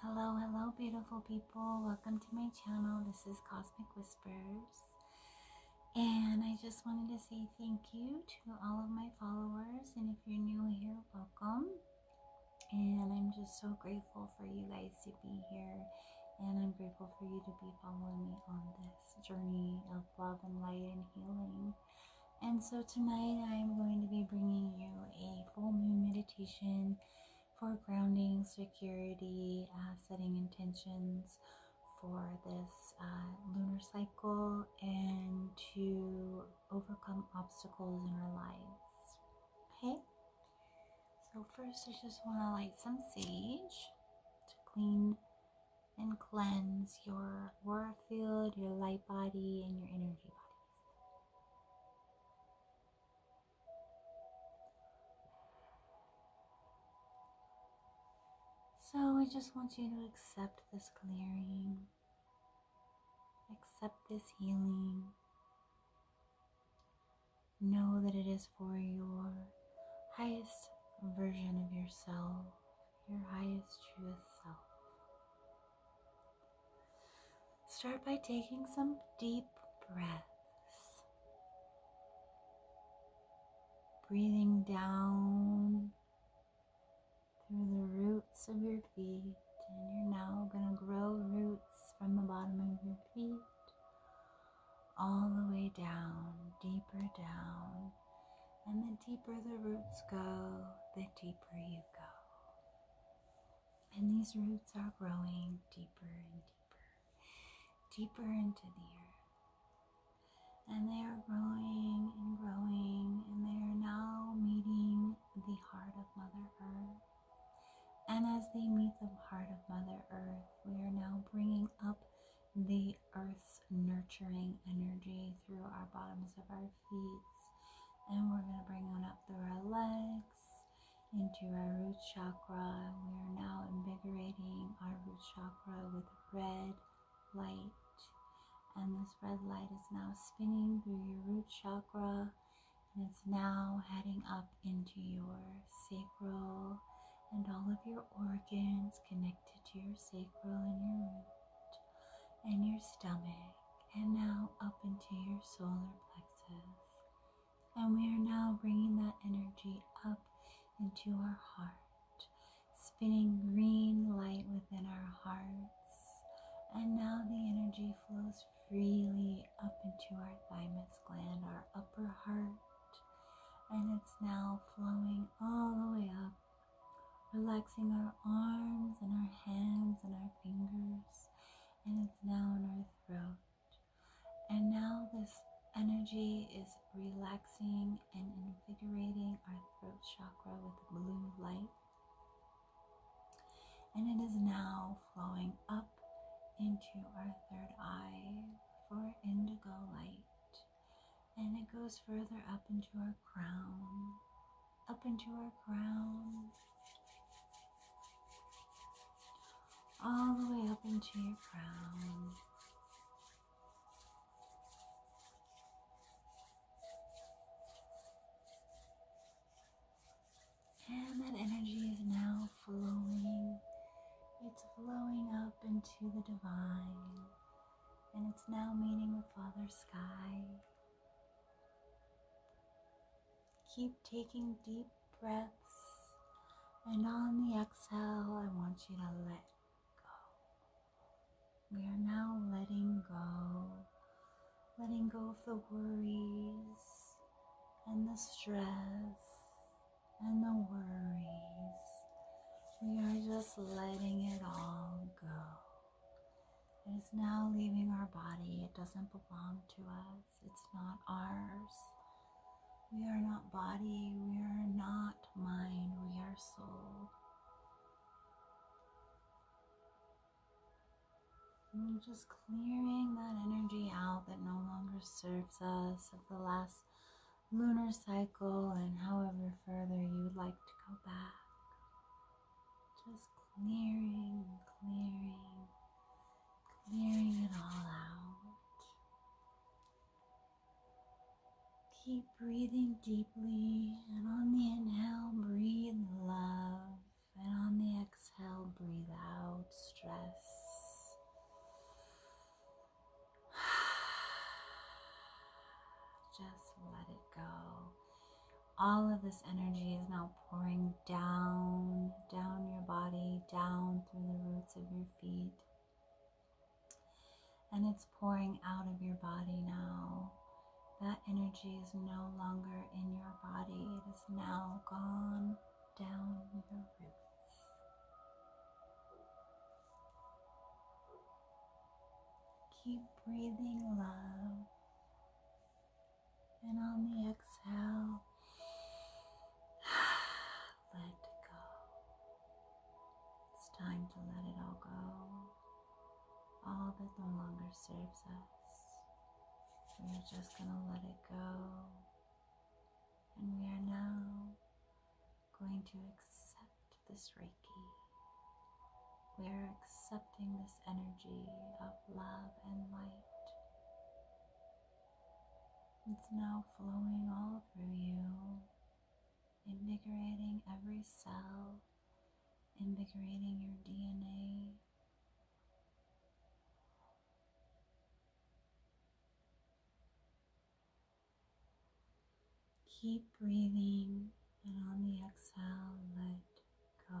Hello, hello, beautiful people. Welcome to my channel. This is Cosmic Whispers. And I just wanted to say thank you to all of my followers. And if you're new here, welcome. And I'm just so grateful for you guys to be here. And I'm grateful for you to be following me on this journey of love and light and healing. And so tonight I'm going to be bringing you a full moon meditation for grounding, security, uh, setting intentions for this uh, lunar cycle, and to overcome obstacles in our lives. Okay? So, first, I just want to light some sage to clean and cleanse your aura field, your light body, and your energy body. So we just want you to accept this clearing, accept this healing. Know that it is for your highest version of yourself, your highest truest self. Start by taking some deep breaths, breathing down through the roots of your feet. And you're now going to grow roots from the bottom of your feet all the way down, deeper down. And the deeper the roots go, the deeper you go. And these roots are growing deeper and deeper, deeper into the earth. And they are growing and growing, and they are now meeting the heart of Mother Earth. And as they meet the heart of Mother Earth, we are now bringing up the earth's nurturing energy through our bottoms of our feet and we're going to bring on up through our legs into our root chakra. We are now invigorating our root chakra with red light. And this red light is now spinning through your root chakra and it's now heading up into your sacral and all of your organs connected to your sacral and your root and your stomach and now up into your solar plexus and we are now bringing that energy up into our heart, spinning green light within our hearts. And now the energy flows freely up into our thymus gland, our upper heart. And it's now flowing all the way up, relaxing our arms and our hands and our fingers and it's now in our throat. And now this energy is relaxing and invigorating our throat chakra with blue light. And it is now flowing up into our third eye for indigo light. And it goes further up into our crown up into our crown, all the way up into your crown. And that energy is now flowing. It's flowing up into the divine. And it's now meeting with Father Sky. Keep taking deep breaths. And on the exhale, I want you to let go. We are now letting go, letting go of the worries and the stress and the worries. We are just letting it all go. It is now leaving our body. It doesn't belong to us. It's not ours. We are not body. We are not mind. We are soul. And just clearing that energy out that no longer serves us of the last lunar cycle and however further you would like to go back. Just clearing, clearing, clearing it all out. Keep breathing deeply, and on the inhale, breathe love, and on the exhale, breathe out stress. Just let it go all of this energy is now pouring down, down your body, down through the roots of your feet. And it's pouring out of your body now. That energy is no longer in your body, it is now gone down your roots. Keep breathing love. And on the exhale, let go. It's time to let it all go. All that no longer serves us. We're just going to let it go. And we are now going to accept this Reiki. We are accepting this energy of love and light. It's now flowing all through you, invigorating every cell, invigorating your DNA. Keep breathing, and on the exhale, let go.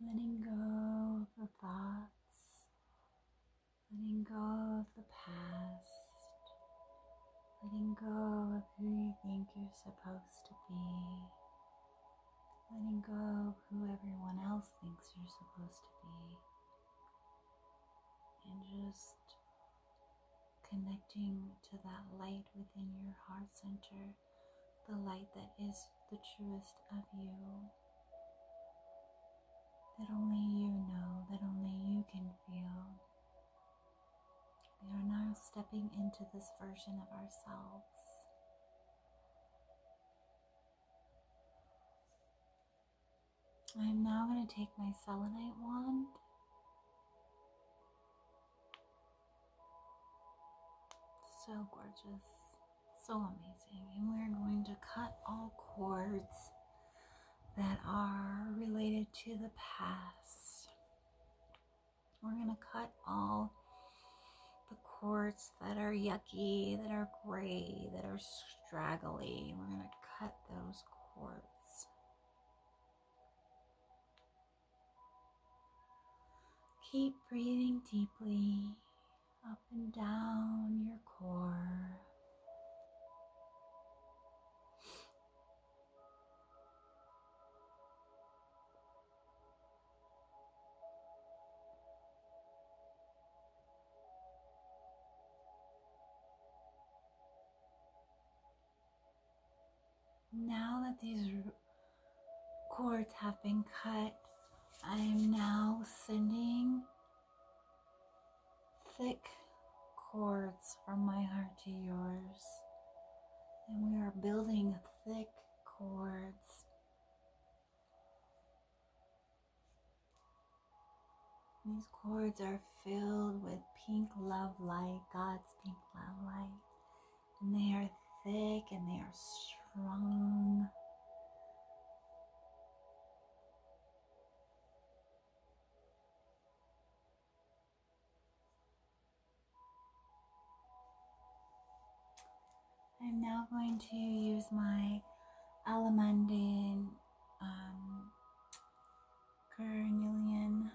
letting go of the thoughts, letting go of the past, letting go of who you think you're supposed to be, letting go of who everyone else thinks you're supposed to be, and just connecting to that light within your heart center the light that is the truest of you. That only you know, that only you can feel. We are now stepping into this version of ourselves. I'm now going to take my selenite wand so gorgeous, so amazing. And we're going to cut all cords that are related to the past. We're going to cut all the cords that are yucky, that are gray, that are straggly. We're going to cut those cords. Keep breathing deeply up and down your core. Now that these cords have been cut, I am now sending thick cords from my heart to yours. And we are building thick cords. These cords are filled with pink love light, God's pink love light and they are thick and they are strong. I'm now going to use my Alamandine um, carnelian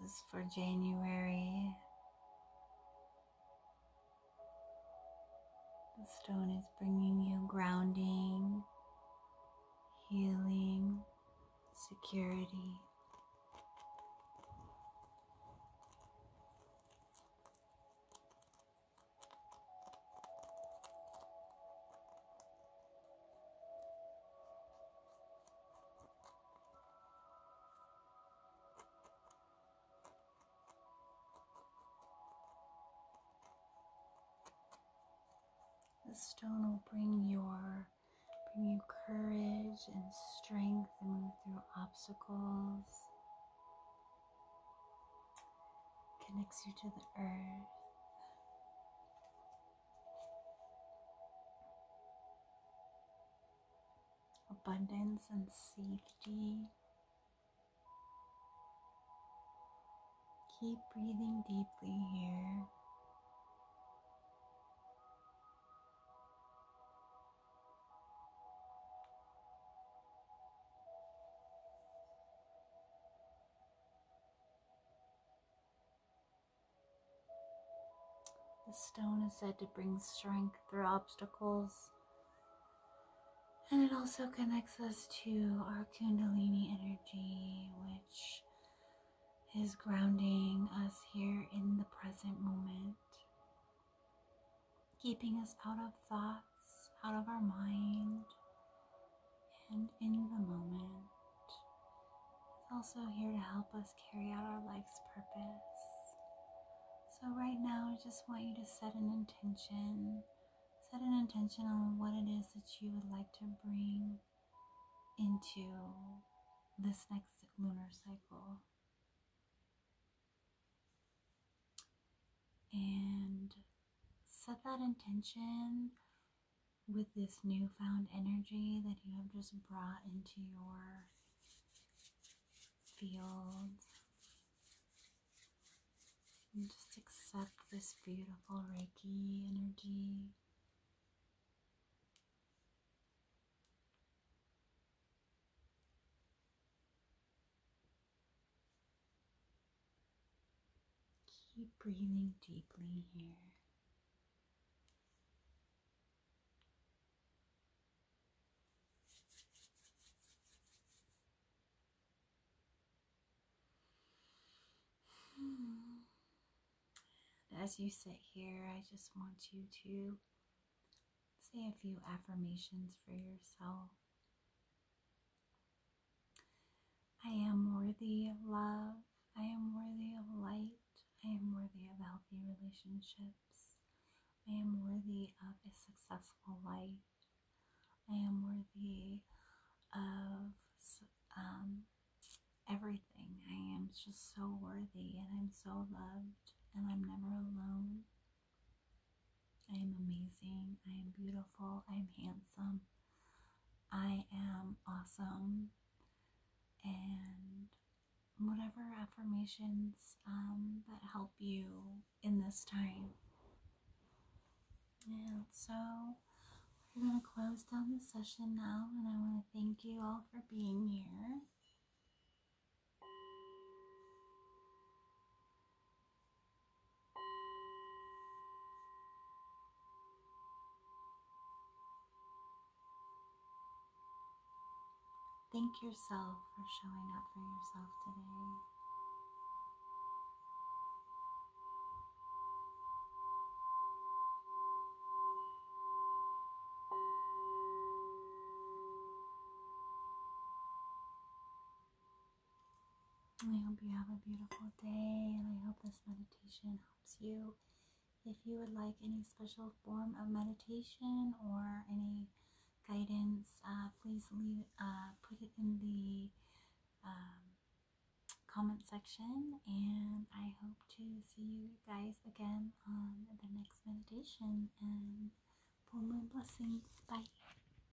this is for January. The stone is bringing you grounding, healing, security. The stone will bring your bring you courage and strength and move through obstacles connects you to the earth. Abundance and safety. Keep breathing deeply here. The stone is said to bring strength through obstacles. And it also connects us to our Kundalini energy, which is grounding us here in the present moment, keeping us out of thought out of our mind and in the moment. It's also here to help us carry out our life's purpose. So, right now, I just want you to set an intention. Set an intention on what it is that you would like to bring into this next lunar cycle and set that intention with this newfound energy that you have just brought into your field. And just accept this beautiful Reiki energy. Keep breathing deeply here. As you sit here, I just want you to say a few affirmations for yourself. I am worthy of love. I am worthy of light. I am worthy of healthy relationships. I am worthy of a successful life. I am worthy of um, everything. I am just so worthy and I'm so loved and I'm never alone. I am amazing. I am beautiful. I am handsome. I am awesome. And whatever affirmations um, that help you in this time. And so we're going to close down the session now. And I want to thank you all for being here. Thank yourself for showing up for yourself today. I hope you have a beautiful day, and I hope this meditation helps you. If you would like any special form of meditation or any guidance, uh, please leave, uh, put it in the um, comment section. And I hope to see you guys again on the next meditation. And full moon blessings. Bye.